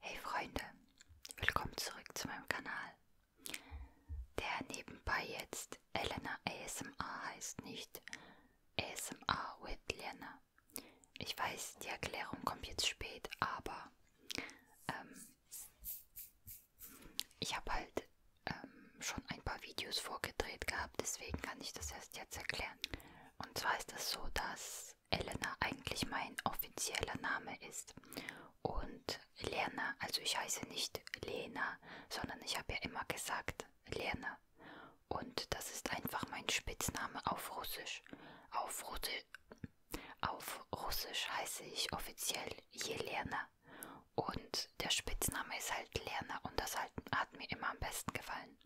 Hey Freunde, willkommen zurück zu meinem Kanal. Der nebenbei jetzt Elena ASMR heißt nicht ASMR with Lena. Ich weiß, die Erklärung kommt jetzt spät, aber ähm, ich habe halt ähm, schon ein paar Videos vorgedreht gehabt, deswegen kann ich das erst jetzt erklären. Und zwar ist es das so, dass dass Elena eigentlich mein offizieller Name ist. Und Lena, also ich heiße nicht Lena, sondern ich habe ja immer gesagt Lena. Und das ist einfach mein Spitzname auf Russisch. Auf, Russisch, auf Russisch heiße ich offiziell Jelena. Und der Spitzname ist halt Lena und das halt, hat mir immer am besten gefallen.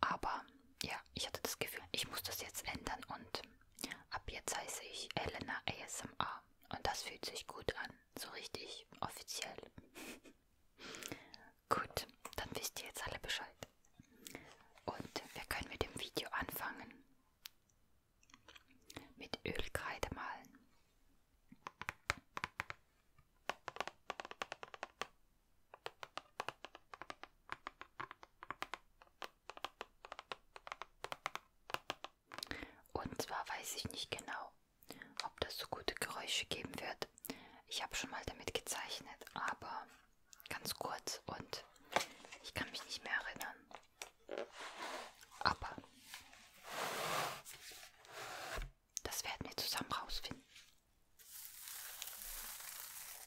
Aber ja, ich hatte das Gefühl, ich muss das jetzt ändern und ab jetzt heiße ich Elena ASMR. Und das fühlt sich gut an, so richtig offiziell. gut, dann wisst ihr jetzt alle Bescheid. Und wir können mit dem Video anfangen. Mit Ölkreide malen. Und zwar weiß ich nicht genau, ob das so gute Geräusche geben wird. Ich habe schon mal damit gezeichnet, aber ganz kurz und ich kann mich nicht mehr erinnern. Aber das werden wir zusammen rausfinden.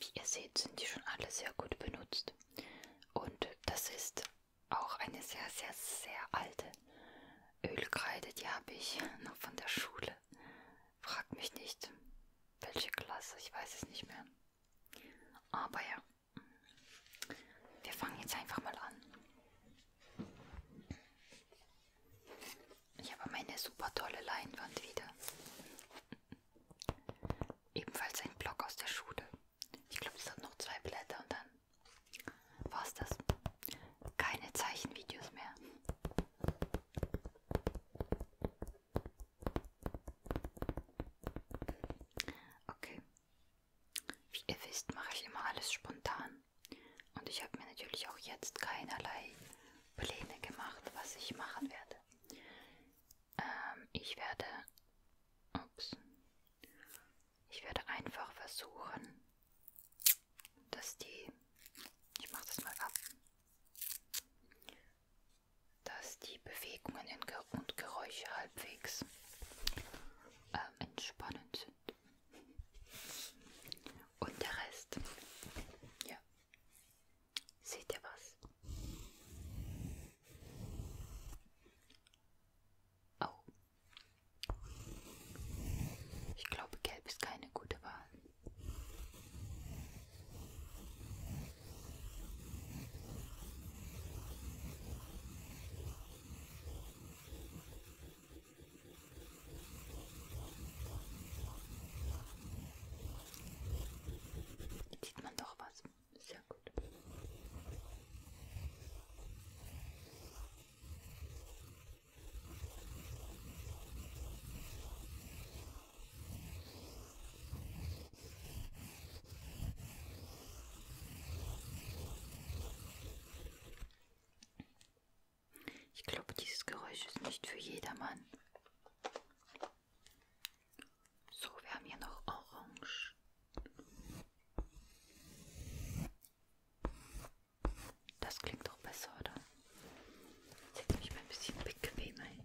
Wie ihr seht, sind die schon alle sehr gut benutzt. Und das ist auch eine sehr, sehr, sehr alte Ölkreide. Die habe ich noch von der Schule. Fragt mich nicht, welche Klasse, ich weiß es nicht mehr. Aber ja, wir fangen jetzt einfach mal an. Ich habe meine super tolle Leinwand wieder. Ebenfalls ein Block aus der Schule. Ich glaube, es sind noch zwei Blätter und dann war es das. Keine Zeichenvideos mehr. Okay, wie ihr wisst, mache ich immer alles spontan. Und ich habe mir natürlich auch jetzt keinerlei Pläne gemacht, was ich machen werde. Ähm, ich werde... Ups. Ich werde einfach versuchen, dass die... Ich mache das mal ab dass die Bewegungen und Geräusche halbwegs äh, entspannend sind. Und der Rest, ja, seht ihr was? Oh. Ich glaube, gelb ist keine gute Wahl. Sieht man doch was. Sehr gut. Ich glaube, dieses Geräusch ist nicht für jedermann. So, wir haben hier noch Orange. Das klingt doch besser, oder? Jetzt setze ich mich mal ein bisschen bequemer hin.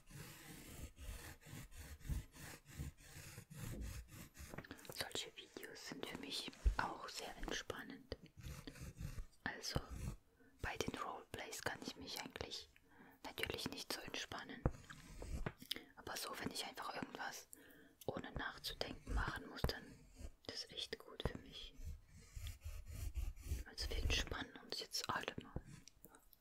Solche Videos sind für mich auch sehr entspannend. Also bei den Roleplays kann ich mich eigentlich natürlich nicht so entspannen. Aber so, wenn ich einfach irgendwas ohne nachzudenken machen muss, dann das ist echt gut für mich. Also wir entspannen uns jetzt alle mal.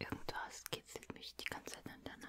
Irgendwas kitzelt mich die ganze Zeit an der Nase.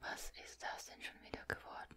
Was ist das denn schon wieder geworden?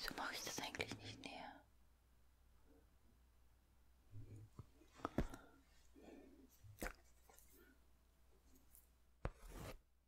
Wieso mache ich das eigentlich nicht näher?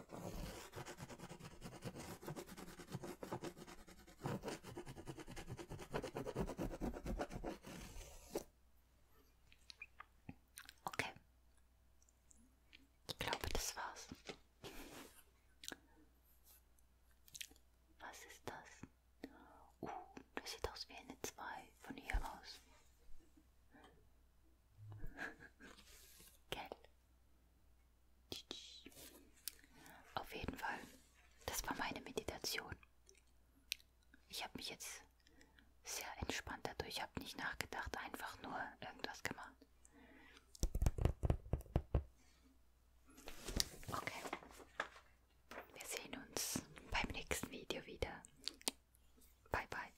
Okay. Ich glaube, das war's. Was ist das? Uh, das sieht aus wie eine 2 von hier aus. Gell? Auf jeden Fall, das war meine Meditation. Ich habe mich jetzt sehr entspannt dadurch, habe nicht nachgedacht, einfach nur irgendwas gemacht. Okay, wir sehen uns beim nächsten Video wieder. Bye bye.